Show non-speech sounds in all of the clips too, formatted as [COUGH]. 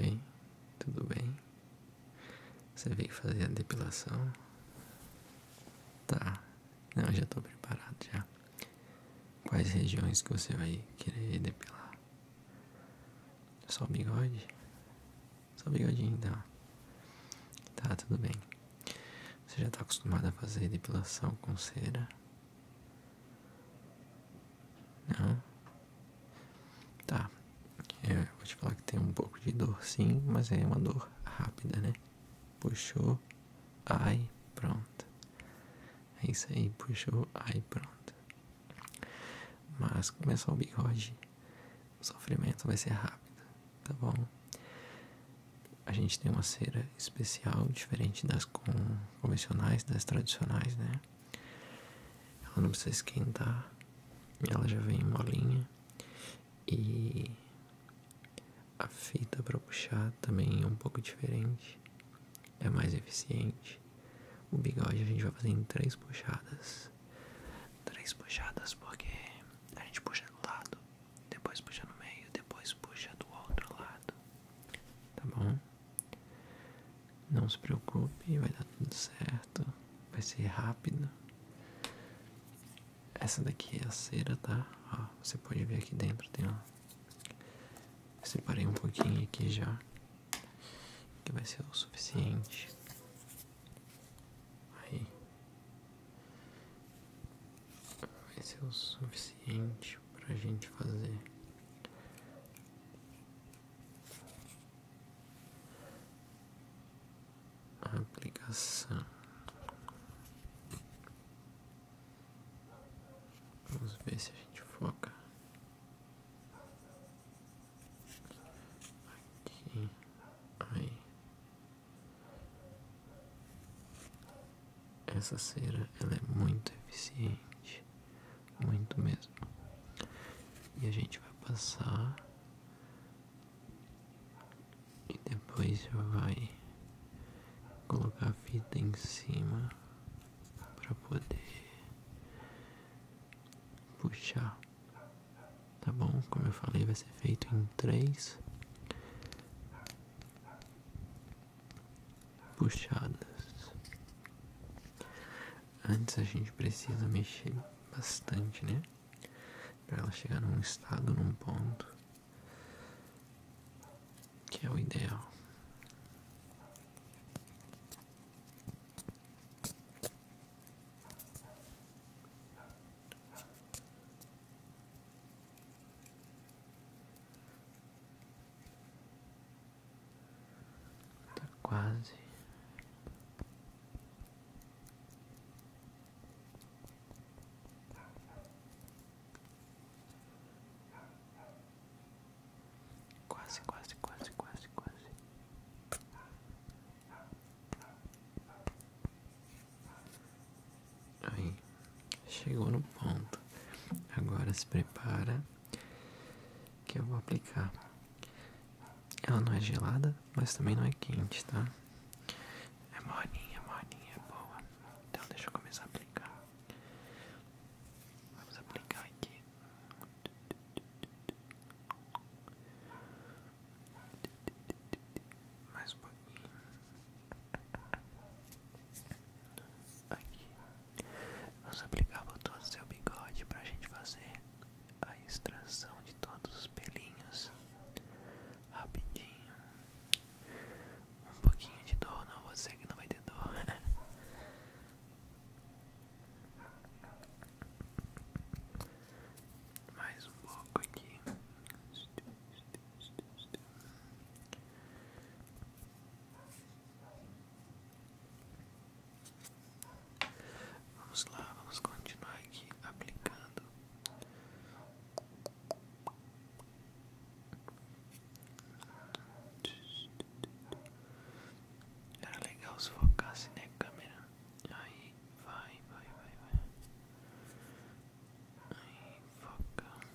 Oi, tudo bem? Você veio fazer a depilação? Tá, não, já tô preparado já. Quais regiões que você vai querer depilar? Só o bigode? Só bigodinho então. Tá, tudo bem. Você já tá acostumado a fazer depilação com cera? Não? Tá. É, vou te falar que tem um pouco de dor sim, mas é uma dor rápida, né? Puxou, ai, pronto. É isso aí, puxou, ai, pronto. Mas começou o bigode o sofrimento vai ser rápido, tá bom? A gente tem uma cera especial, diferente das convencionais, das tradicionais, né? Ela não precisa esquentar, ela já vem molinha e a fita para puxar também é um pouco diferente, é mais eficiente. O bigode a gente vai fazer em três puxadas três, puxadas porque a gente puxa do lado, depois puxa no meio, depois puxa do outro lado, tá bom? Não se preocupe, vai dar tudo certo, vai ser rápido. Essa daqui é a cera, tá? Ó, você pode ver aqui dentro, tem ó. Separei um pouquinho aqui já, que vai ser o suficiente Aí. Vai ser o suficiente para a gente fazer. A aplicação. Vamos ver se a gente foca Aqui. Aí. Essa cera ela é muito eficiente, muito mesmo. E a gente vai passar e depois já vai colocar a fita em cima para poder puxar. Tá bom? Como eu falei, vai ser feito em três puxadas. Antes a gente precisa mexer bastante, né? Para ela chegar num estado, num ponto que é o ideal. Tá quase. Quase, quase, quase, quase, quase. Aí, chegou no ponto. Agora se prepara que eu vou aplicar. Ela não é gelada, mas também não é quente, tá? É molinha, molinha, é boa. Então deixa eu começar a aplicar. Vamos aplicar aqui mais um pouquinho. Aqui. Vamos aplicar botões do seu bigode pra gente fazer a extração de todos os pelinhos. Rapidinho. Um pouquinho de dor, não, você que não vai ter dor. [LAUGHS] Mais um pouco aqui. Vamos lá, vamos continuar aqui aplicando. Era legal se focasse na né, câmera. Aí vai, vai, vai, vai. Aí foca.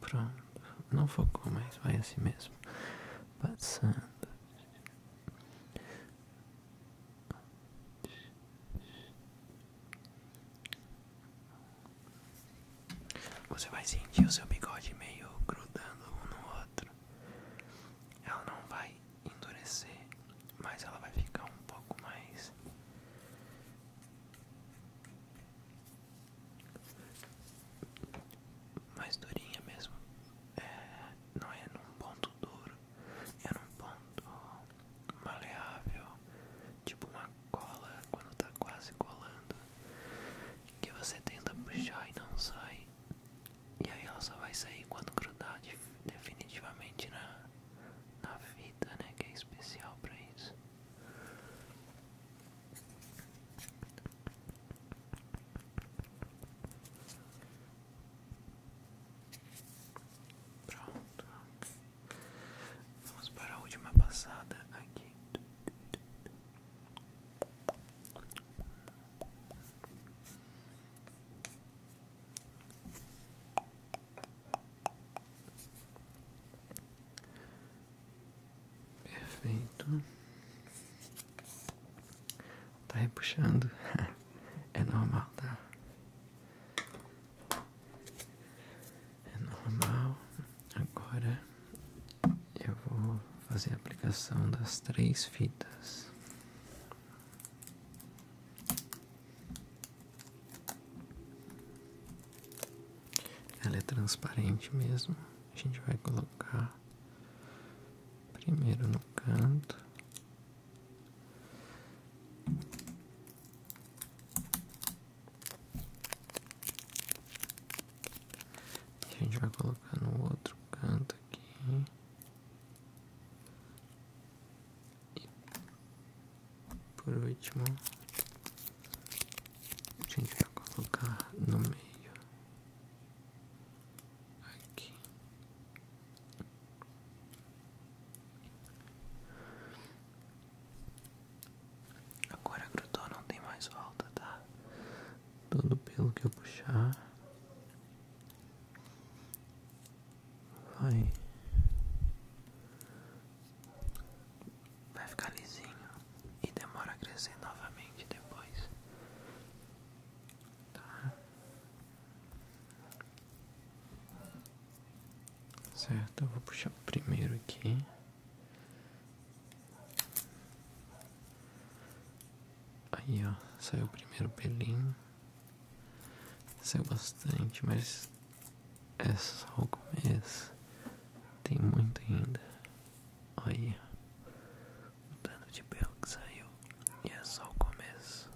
Pronto. Não focou, mas vai assim mesmo. Passando. Você vai sentir o seu bigode meio grudando um no outro. Ela não vai endurecer, mas ela vai ficar um pouco mais mais durinha mesmo. É, não é num ponto duro, é num ponto maleável, tipo uma cola quando tá quase colando, que você tenta puxar e não sai, e aí ela só vai sair quando grudar definitivamente na, na fita, né? Que é especial pra isso. Pronto. Vamos para a última passada aqui. Perfeito. Tá repuxando. [LAUGHS] É normal, tá? É normal. Agora eu vou fazer a aplicação das três fitas. Ela é transparente mesmo. A gente vai colocar primeiro no canto a gente vai colocar no outro canto aqui. E por último, a gente vai colocar no meio aqui. Agora grudou, não tem mais volta, tá? Todo pelo que eu puxar vai vai ficar lisinho e demora a crescer novamente depois, tá? Certo, vou puxar primeiro aqui. Aí, ó, saiu o primeiro pelinho. Saiu bastante, mas é só o Tem muito ainda. Olha. O tanto de pelo que saiu e é só o começo.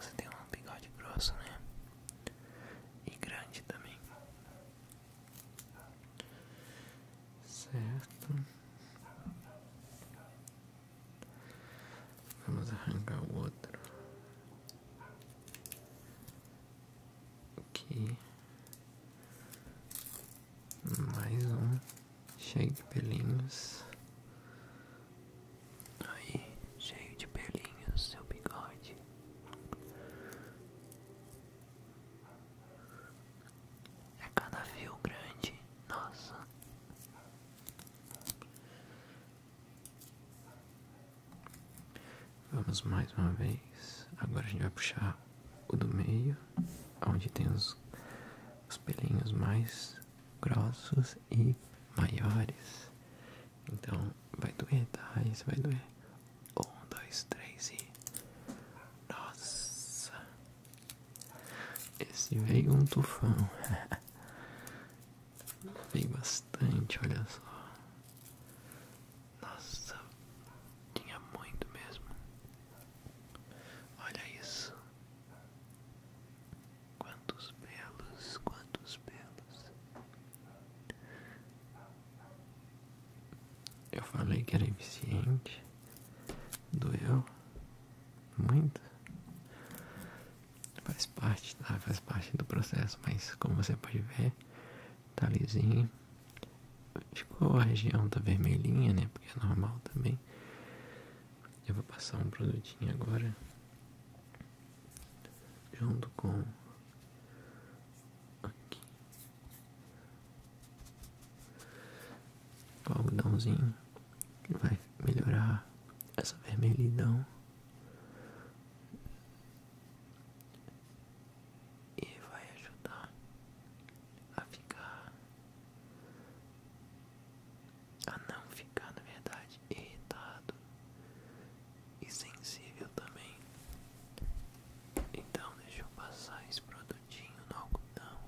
Você tem um bigode grosso, né? E grande também. Certo. Vamos arrancar o outro. Aqui. Mais um. Cheio de pelinhos. Aí, cheio de pelinhos, seu bigode. É cada fio grande, nossa. Vamos mais uma vez. Agora a gente vai puxar o do meio, onde tem os, os pelinhos mais grossos e maiores. Então vai doer, tá? Isso vai doer. Um, dois, três e. Nossa! Esse veio um tufão. [LAUGHS] veio bastante, olha só. Nossa, tinha muito mesmo. Olha isso. Quantos pelos, quantos pelos. Eu falei que era eficiente. Doeu muito. Faz parte, tá? Faz parte do processo, mas como você pode ver, tá lisinho. Ficou a região tá vermelhinha, né? Porque é normal também. Eu vou passar um produtinho agora. Junto com... O algodãozinho. Que vai melhorar essa vermelhidão e vai ajudar a ficar a não ficar na verdade irritado e sensível também então deixa eu passar esse produtinho no algodão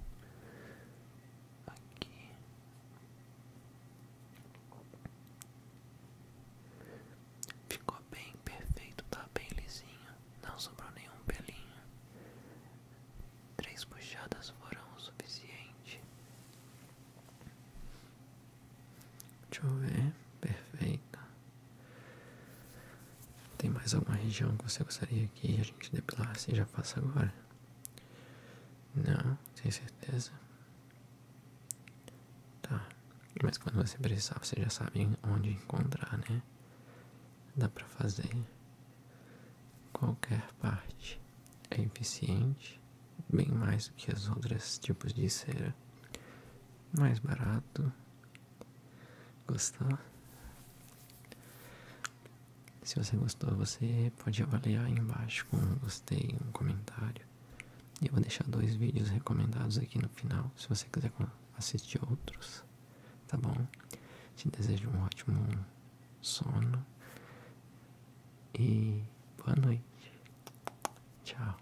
aqui Ficou bem perfeito, tá bem lisinho, não sobrou nenhum pelinho. Três puxadas foram o suficiente. Deixa eu ver, perfeito. Tem mais alguma região que você gostaria que a gente depilasse e já faça agora? Não, tem certeza? Tá, mas quando você precisar, você já sabe onde encontrar, né? Dá para fazer qualquer parte. É eficiente, bem mais do que os outros tipos de cera. Mais barato. Gostou? Se você gostou, você pode avaliar embaixo com um gostei, um comentário. E eu vou deixar dois vídeos recomendados aqui no final, se você quiser assistir outros, tá bom? Te desejo um ótimo sono e boa noite. Tchau.